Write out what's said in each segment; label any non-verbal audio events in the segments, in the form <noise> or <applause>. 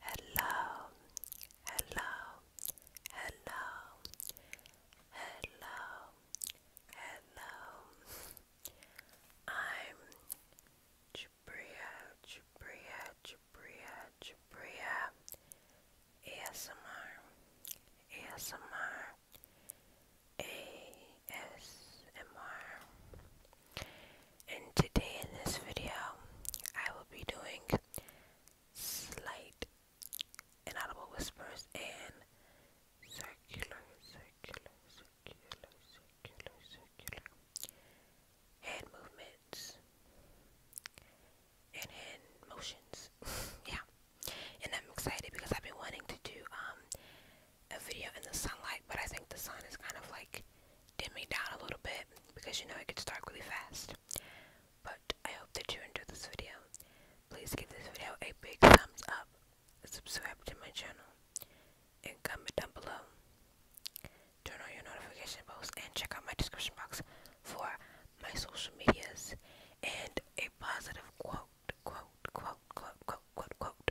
Hello, hello, hello, hello, hello. I'm Jabria, Jabria, Jabria, Jabria. ASMR, ASMR, ASMR and today in this video I will be doing slight inaudible whispers and circular circular circular circular circular hand movements and hand motions <laughs> yeah and I'm excited because I've been wanting to do um, a video in the sunlight but I think the sun is kind of like dim me down a little bit because you know it gets dark really fast. But I hope that you enjoyed this video. Please give this video a big thumbs up, subscribe to my channel, and comment down below. Turn on your notification bells and check out my description box for my social medias and a positive quote, quote, quote, quote, quote, quote, quote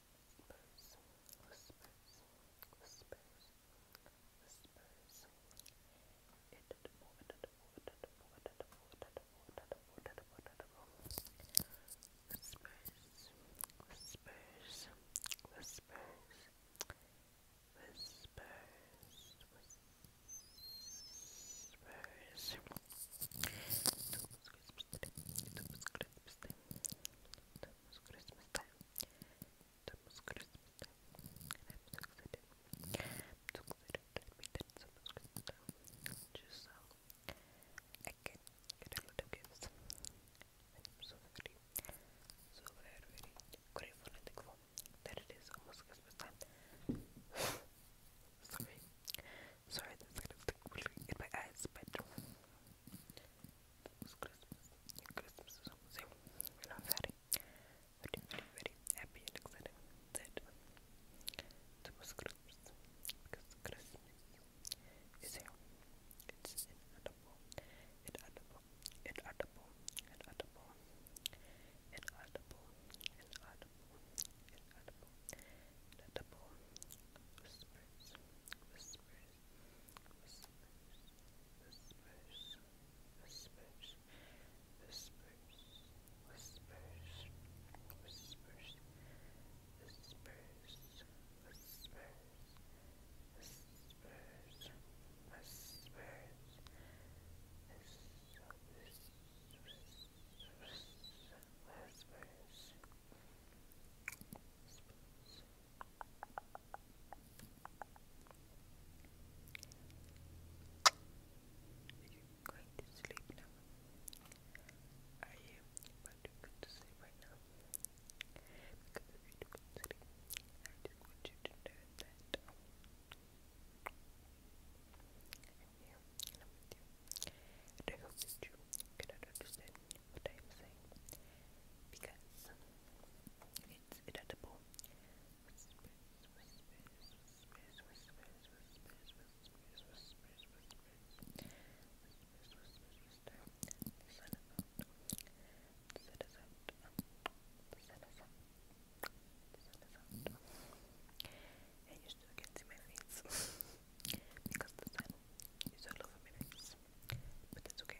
whispers, whispers, whispers, whispers. Whispers, whispers, whispers, whispers. Whispers. It was Christmas time. That was Christmas time. That was Christmas time. And I'm so excited. I'm so excited that we did so much Christmas time. Just so I can get a lot of gifts. And I'm so very, so very, very grateful and thankful that it is almost Christmas <laughs> time. Sorry. Sorry, that's kind of like in my eyes, but it Christmas. Christmas is almost here, and i very, very, very, happy and excited that it was Christmas because Christmas is here. It's inedible, inedible, inedible, inedible, inedible, inedible, inaudible, inaudible, whispers, whispers, whispers, whispers, whispers, whispers, whispers, whispers, whispers, whispers, whispers, whispers, whispers, whispers, whispers, whispers. you going to sleep now. Are you about to sleep right now? Because if you do go sleep, I just want you to know that with you. i hope that you cannot understand what I am saying because it's inedible. Whispers, whispers, whispers, whispers, I you to can see my face <laughs> because the sun is all over my face, but that's okay.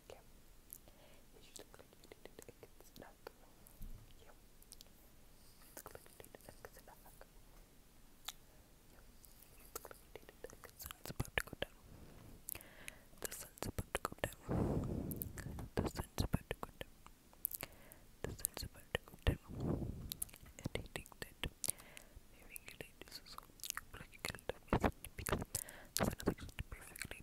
The sun's about to go down. The sun's about to go down. The sun's about to go down. The sun's about to go down. And I that maybe you like this as well. it up because the sun is actually perfectly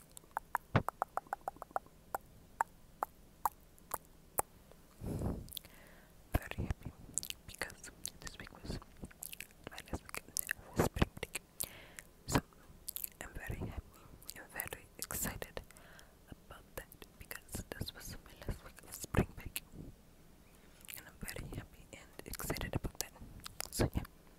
Very happy because this was my last spring break. So I'm very happy and very excited about that because this was my last spring break. And I'm very happy and excited about that. So yeah.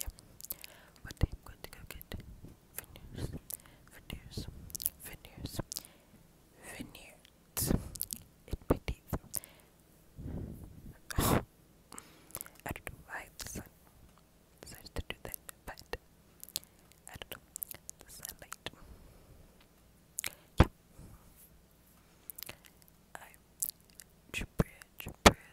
Yeah. But I'm going to go get veneers, veneers, veneers, veneers in my teeth. I don't know why the sun decided to do that, but I don't know. The I. Jabria, Jabria,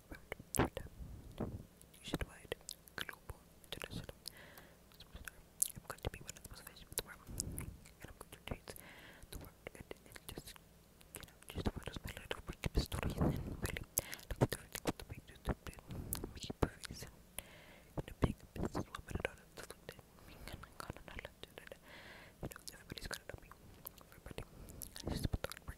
Nationwide, global, international superstar. I'm going to be one of the most famous the world, I'm going to change the world. And it's just, you know, just one of my little worship stories. And really, I'm going to really want to make this happen. Make it perfect. And a big businesswoman and all of the food. And I'm going to not let you know, everybody's going to love me. Everybody. I just put the hard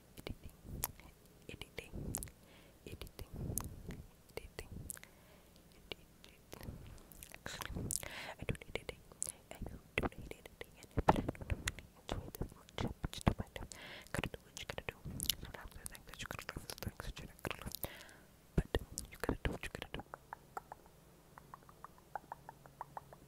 editing, editing, editing, editing, editing. Actually, I don't need editing. I don't need editing, and but I don't really enjoy that much. But you know what? Gotta do what you gotta do. Sometimes I think that you gotta do the things that you're not gonna do. But you gotta do what you gotta do.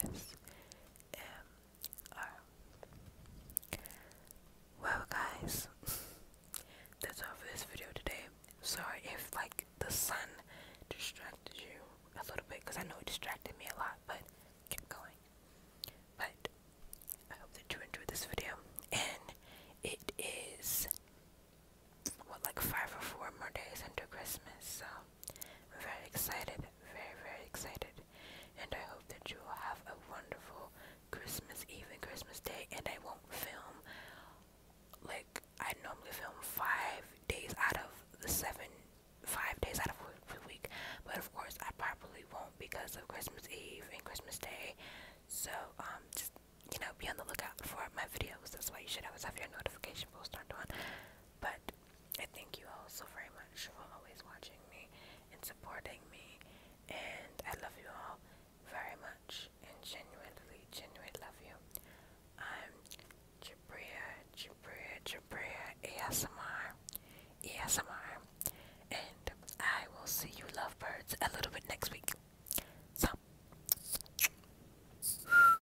ASMR. Well, guys, <laughs> that's all for this video today. Sorry if like the sun distracted you a little bit because I know it distracted me a lot, but keep going. But I hope that you enjoyed this video, and it is what like five or four more days until Christmas, so we're very excited, very, very excited. And I hope that you will have a wonderful Christmas Eve and Christmas Day. And I won't film like I normally film five days out of the seven, five days out of the week. But of course, I probably won't because of Christmas Eve and Christmas Day. So, um, just you know, be on the lookout for my videos. That's why you should always have your notification post turned on. But I thank you all so very much for always watching me and supporting me. And I love you all very much and genuinely, genuinely love you. I'm Jabria, Jabria, Jabria ASMR, ASMR. And I will see you lovebirds a little bit next week. So.